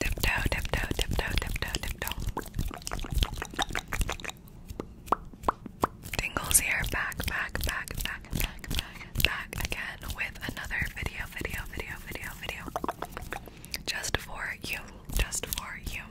Tiptoe, tiptoe, tiptoe, tiptoe, tiptoe. Tingles here, back, back, back, back, back, back, again with another video, video, video, video, video. Just for you, just for you.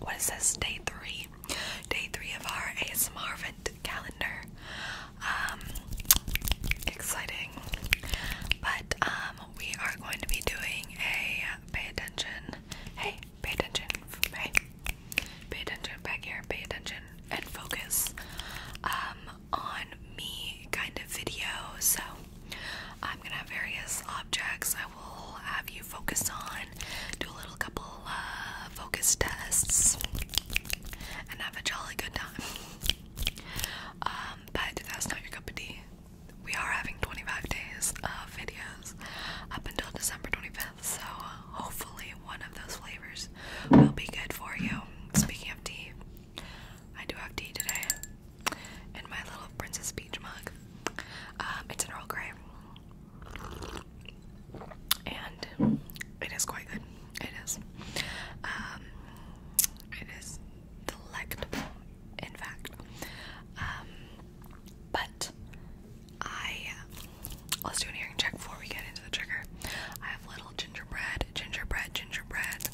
What is this? Day three. Day three of our ASMR event calendar um, exciting. But um, we are going to be doing a pay attention. Hey, pay attention. Hey, pay attention back here. Pay attention and focus um, on me kind of video. So I'm gonna have various objects. I will have you focus on. Do a little couple uh, focus tests and have a jolly good time. Um, but that's not your cup of tea. We are having 25 days of videos up until December 25th, so hopefully one of those flavors will be good for you. Speaking of tea, I do have tea today in my little Princess Peach mug. Um, it's an Earl Grey, and it is quite good. It is. Um, it is delectable, in fact. Um, but I uh, let's do an earring check before we get into the trigger. I have little gingerbread, gingerbread, gingerbread.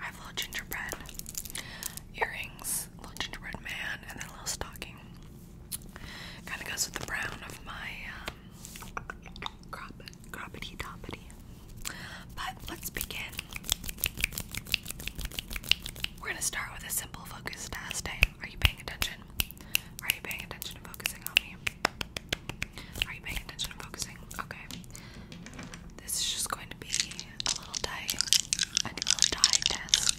I have little gingerbread earrings, little gingerbread man, and then a little stocking. Kind of goes with the brown of my um, crop, croppity toppity. But let's begin. We're gonna start with a simple focus test. Hey, are you paying attention? Are you paying attention and focusing on me? Are you paying attention and focusing? Okay. This is just going to be a little die, a little die test.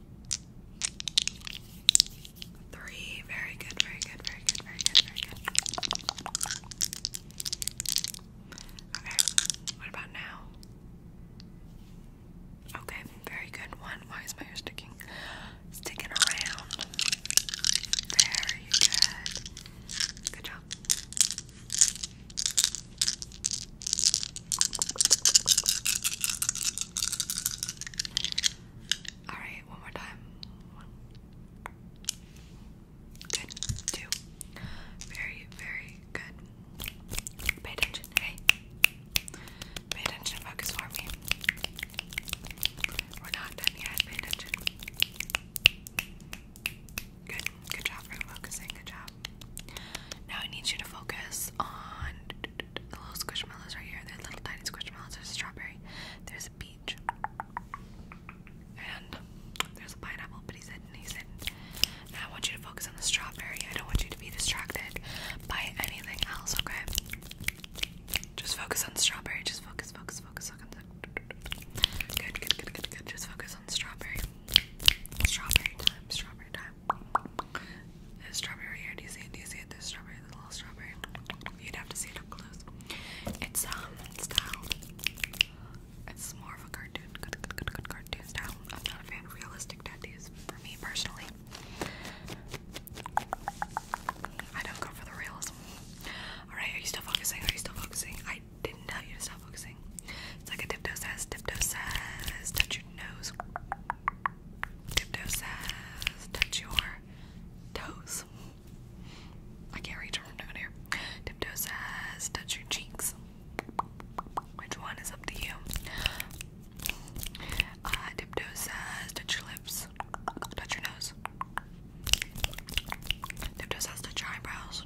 Three. Very good, very good, very good, very good, very good. Okay, what about now? Okay, very good one. Why is my ear sticking? Sticking around. Very good. Good job. All right, one more time. One. Good. Two. Very, very good. Pay attention. Hey. Pay attention. Focus for me. We're not done yet. Pay attention. Good. Good job for focusing. Good job. Now I need you to focus on the little squishmallows right here. There's are little tiny squishmallows. There's a strawberry. There's a peach. And there's a pineapple, but he's hidden. He's hidden. I want you to focus on the strawberry. I don't want you to be distracted by anything else, okay? Just focus on the strawberry. Just focus, focus, focus, focus. good, good, good, good. Just focus on the strawberry. Strawberry time, strawberry time. There's strawberry here. Do you see it? Do you see it? There's strawberry, the little strawberry. You'd have to see it up close. It's um style. It's more of a cartoon, good, good, good, good cartoon style. I'm not a fan of realistic tattoos for me personally. I don't go for the realism. Alright, are you still focusing? Are you still focusing? I didn't tell you to stop focusing amazing. It's like a tiptoe says, tiptoe says, touch your nose. Tiptoe says, touch your toes. I can't reach from down here. Tiptoe says, touch your cheeks. Which one is up to you? Uh, tiptoe says, touch your lips, touch your nose. Tiptoe says, touch your eyebrows.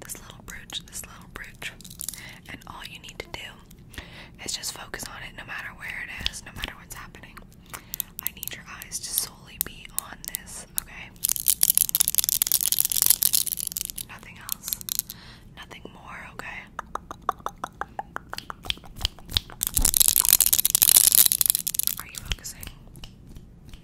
this little bridge, this little bridge. And all you need to do is just focus on it no matter where it is, no matter what's happening. I need your eyes to solely be on this, okay? Nothing else, nothing more, okay? Are you focusing?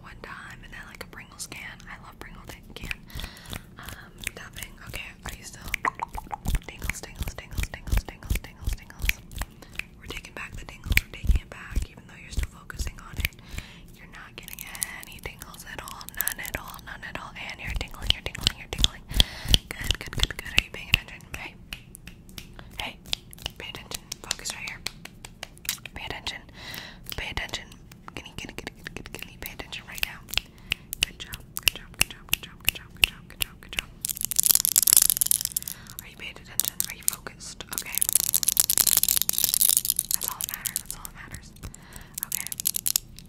one time, and then like a Pringles can. I love Pringles can. Um, tapping. Okay, are you still? Tingles, tingles, tingles, tingles, tingles, tingles, tingles. We're taking back the tingles. We're taking it back, even though you're still focusing on it. You're not getting any tingles at all. None at all. None at all. And you're tingling. You're tingling. You're tingling. Good. Good. Good. Good. Are you paying attention? Okay. Hey, pay attention. Focus right here. Pay attention. Pay attention. Can you, can you, can you, can you pay attention right now? Good job. Good job. Good job. Good job. Good job. Good job. Good job. Good job. Are you paying attention? Are you focused? Okay. That's all that matters. That's all that matters.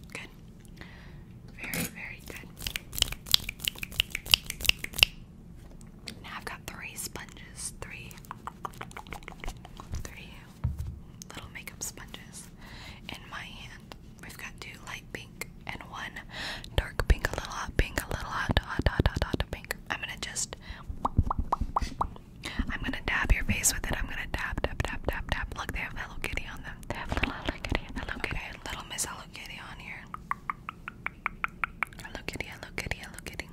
Okay. Good. Very, very good. Now I've got three sponges, three, three little makeup sponges in my hand. We've got two light pink and one dark pink, a little hot pink, a little hot, hot, hot, hot, hot pink. I'm gonna just, I'm gonna dab your face with it. I'm gonna dab, dab, dab, dab, dab. Look, they have Hello Kitty on them. They have little Hello Kitty, Hello Kitty, okay, Little Miss Hello Kitty on here. Hello Kitty, Hello Kitty, Hello Kitty.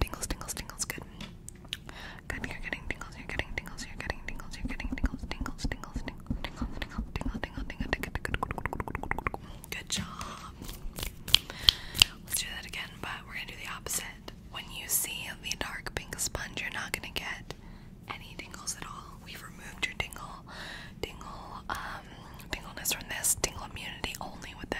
Tingles, tingles, tingles, good. Good, you're getting tingles, you're getting tingles, you're getting tingles, you're getting tingles, tingles, tingles, tingles, tingles, tingles, tingles, tingles, tingles, tingles, Good job. Let's do that again, but we're gonna do the opposite. When you see the dark pink sponge, you're not gonna get any tingles at all. We've removed your tingle, tingle, um, tingleness from this, tingle immunity only with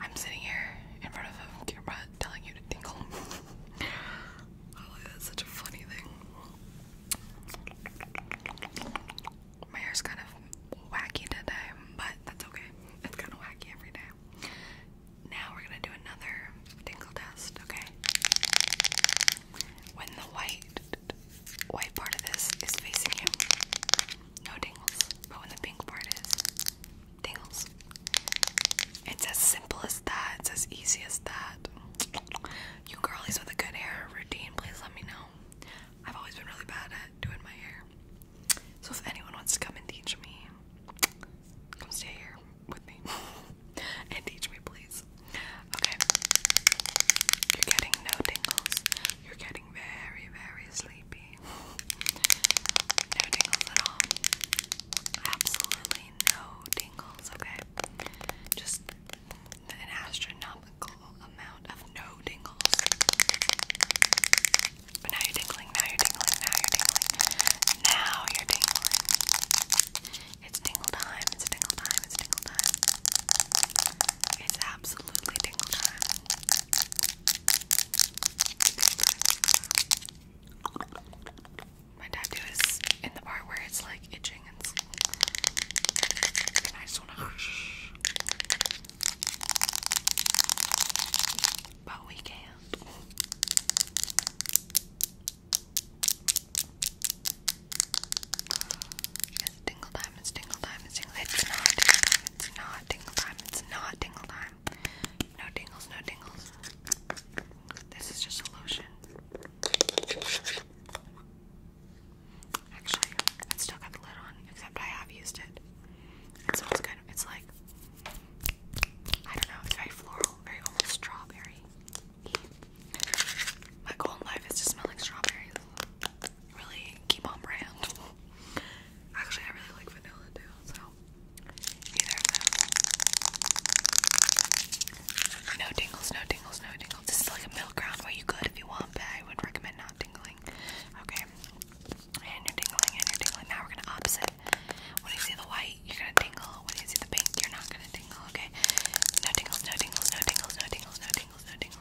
I'm sitting here in front of a camera telling you to tinkle. Oh, such a funny thing. My hair's kind of wacky today, but that's okay. It's kind of wacky every day. Now we're gonna do another tinkle test, okay? When the white white part of this is facing you, no tingles. But when the pink part is, tingles. It's as simple as that. It's as easy as that. You girlies with a good hair routine, please let me know. I've always been really bad at doing my hair. So if anyone wants to come and teach me, come stay here with me and teach me, please. Okay. You're getting no tingles. You're getting very, very sleepy. No tingles at all. Absolutely no tingles, okay? Just an astronomical amount of no tingles. But now you're tingling, now you're tingling, now you're tingling. Now you're tingling. It's tingle time, it's tingle time, it's tingle time. It's absolutely tingle time. My tattoo is in the part where it's like itching and, I just wanna But we can And it's tingle time, it's tingle time, it's tingle It's not tingle time, it's not tingle time, it's not tingle time. No tingles, no tingles. This is just a lotion. Actually, it's still got the lid on, except I have used it. It smells good. It's like, I don't know, it's very floral, very almost strawberry. My goal in life is to smell like strawberries really keep brand. Actually, I really like vanilla too, so No tingles, no tingles, no tingles. This is like a middle ground where you could if you want, I would recommend not tingling. Okay. And you're tingling, and you're tingling. Now we're gonna opposite. When you see the white, you're gonna tingle. When you see the pink, you're not gonna tingle, okay? No tingles, no tingles, no tingles, no tingles, no tingles, no tingles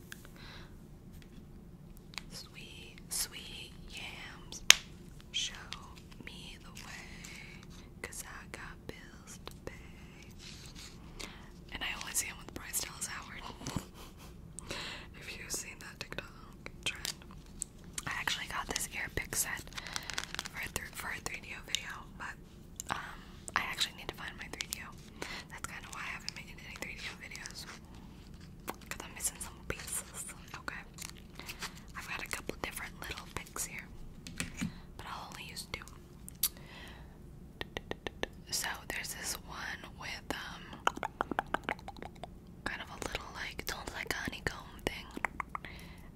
Sweet, sweet yams, show me the way, I got bills to pay. And I always see him with Bryce Dallas Howard. if you seen that TikTok trend. I actually got this ear set for a 3DO video, but um, I actually need to find my 3 D. That's kind of why I haven't made any 3 D videos. Because I'm missing some pieces. Okay. I've got a couple different little picks here. But I'll only use two. So there's this one with um kind of a little like it's almost like a honeycomb thing.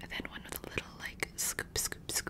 And then one with a little like scoop scoop scoop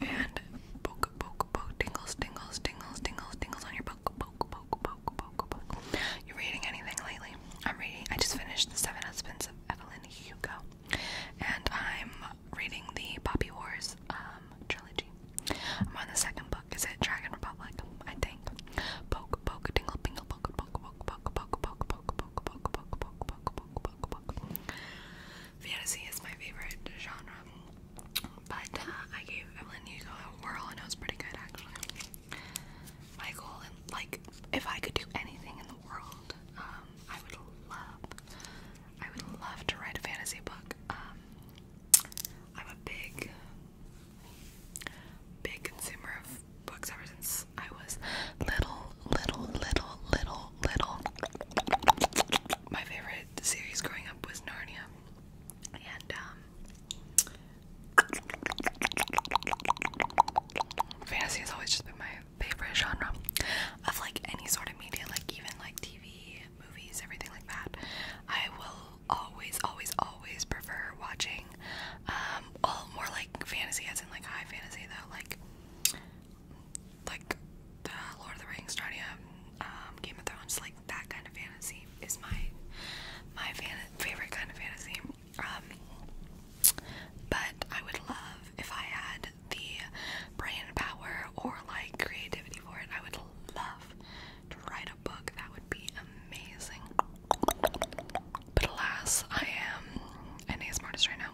And poke, poke, poke, tingles, tingles, tingles, tingles, tingles on your poke, poke, poke, poke, poke, poke. You reading anything lately? I'm reading. I just finished The Seven Husbands of Evelyn Hugo, and I'm reading the Poppy Wars um, trilogy. I'm on the second book. Is it Dragon Republic? I think. Poke, poke, tingle, tingle, poke, poke, poke, poke, poke, poke, poke, poke, poke, poke, poke, poke, Fantasy is my favorite genre, but uh, I gave Evelyn Hugo a whirl and it was pretty good actually. My goal, like, if I could do anything in the world, um, I would love, I would love to write a fantasy book. Um, I'm a big, big consumer of books ever since I was little, little, little, little, little. My favorite series growing up was Narnia, and um, fantasy has always just been my favorite genre of like any sort of media, like even like TV, movies, everything like that. I will always, always, always prefer watching um all more like fantasy as in like high fantasy though like like the Lord of the Rings, Narnia, um, Game of Thrones, like that kind of fantasy is my my fan favorite kind of fantasy. Um, but I would love if I had the brain power or like creativity for it. I would love to write a book. That would be amazing. But alas, I am an ASMR artist right now.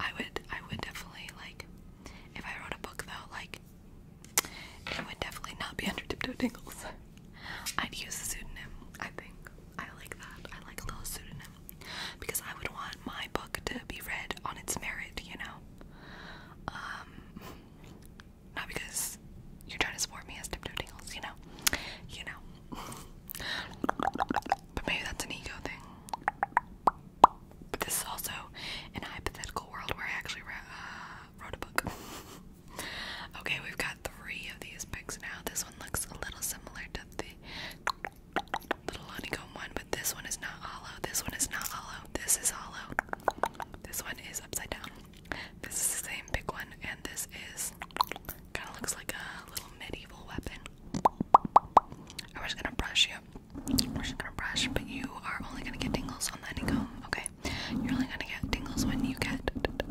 I would I would definitely like if I wrote a book though, like it would definitely not be under tiptoe tingles. I'd use a pseudonym, I think. I like that. I like a little pseudonym. Because I would want my book to be read on its merit, you know. Um not because you're trying to support me as tiptoe tingles, you know. You know. But maybe that's an ego thing. But this is also an hypothetical world where I actually wrote uh, a book. okay, we've got three of these picks now. This one looks a little similar to the little honeycomb one, but this one is not hollow. This one is not hollow. This is hollow. This one is upside down. This is the same big one, and this is Kind of looks like a little medieval weapon. And we gonna brush you. We're gonna brush, but you are only gonna get tingles on the honeycomb, okay? You're only gonna get tingles when you get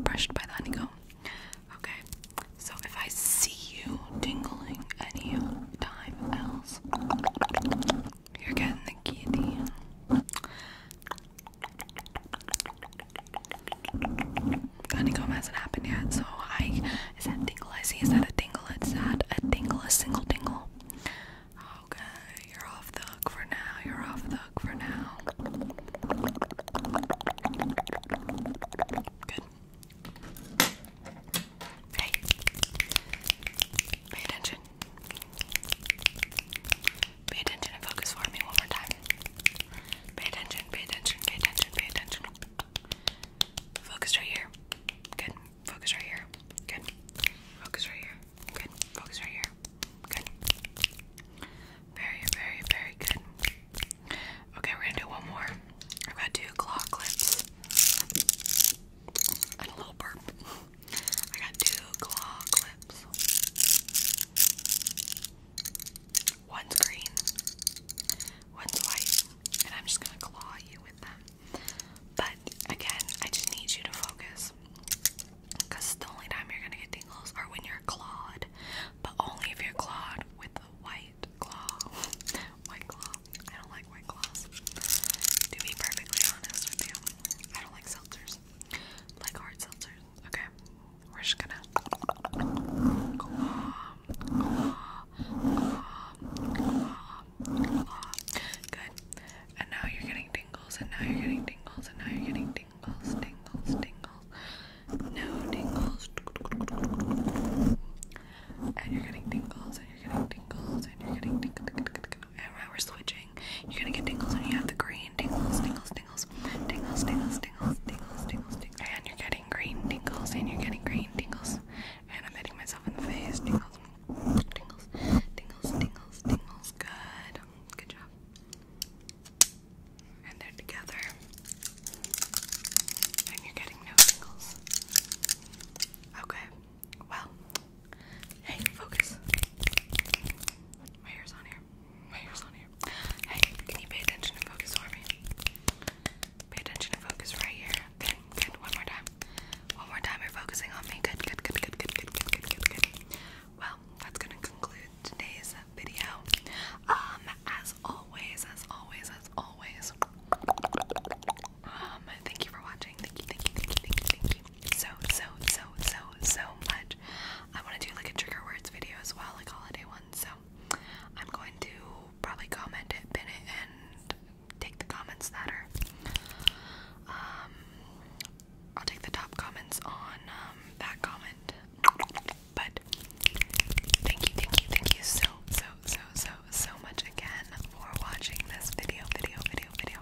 brushed by the honeycomb. Okay, so if I see you tingling any time else, you're getting the guillotine. Honeycomb hasn't happened yet, so I is that tingle? I see is that a tingle? It's that a tingle, a single tingle. Okay, you're off the hook for now. You're off the hook for now. Good. Hey, pay attention. Pay attention and focus for me one more time. Pay attention, pay attention, pay attention, pay attention. Focus right here. Good. Focus right here. Good. Focus right here. Good. Focus right here. Good. Very, very, very good. Okay, we're gonna do one more. I've got two claw clips and a little burp. I got two claw clips. One's green, one's white, and I'm just gonna claw you with them. But again, I just need you to focus. Because the only time you're gonna get tingles are when you're clawed, but only if you're clawed with the white claw. white claw. I don't like white claws. To be perfectly honest with you, I don't like seltzers. like hard seltzers. Okay, we're just gonna Good. And now you're getting tingles, and now you're getting tingles, and now you're getting tingles, tingles, tingles. No tingles. And you're getting tingles, and you're getting tingles, and you're getting tingles. And we're switching. You're gonna get tingles, and you have the green green tingles, tingles, tingles, tingles, tingles, tingles, tingles, tingles, tingles. And you're getting green tingles, and you're getting green tingles. And I'm hitting myself in the face. Tingles, tingles, tingles, tingles, tingles. Good, good job. And they're together. And you're getting no tingles. Okay. Well, hey, focus. My hair's on here. Hey, can you pay attention and focus for me? Pay attention and focus right here. Good, good. One more time. One more time. You're focusing on me. good, good, good, good, good, good, good, good, good. Well, that's gonna conclude today's video. Um, as always, as always, as always. Um, thank you for watching. Thank you, thank you, thank you, thank you, thank you so, so, so, so, so much. I want to do like a trigger words video as well, like holiday ones. So I'm going to probably comment it, pin it, and take the comments that um, I'll take the top comments on um, that comment. But thank you, thank you, thank you so, so, so, so, so much again for watching this video, video, video, video.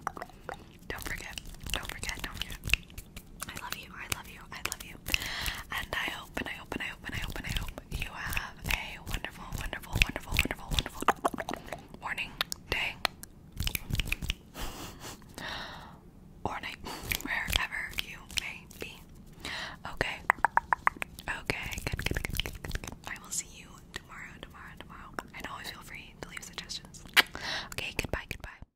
Don't forget, don't forget, don't forget. I love you, I love you, I love you. And I hope and I hope and I hope and I hope and I hope you have a wonderful, wonderful, wonderful, wonderful, wonderful morning, day, or night, wherever you may be. Okay. Okay, good, good, good, good, good, good. I will see you tomorrow, tomorrow, tomorrow. And always feel free to leave suggestions. Okay, goodbye, goodbye.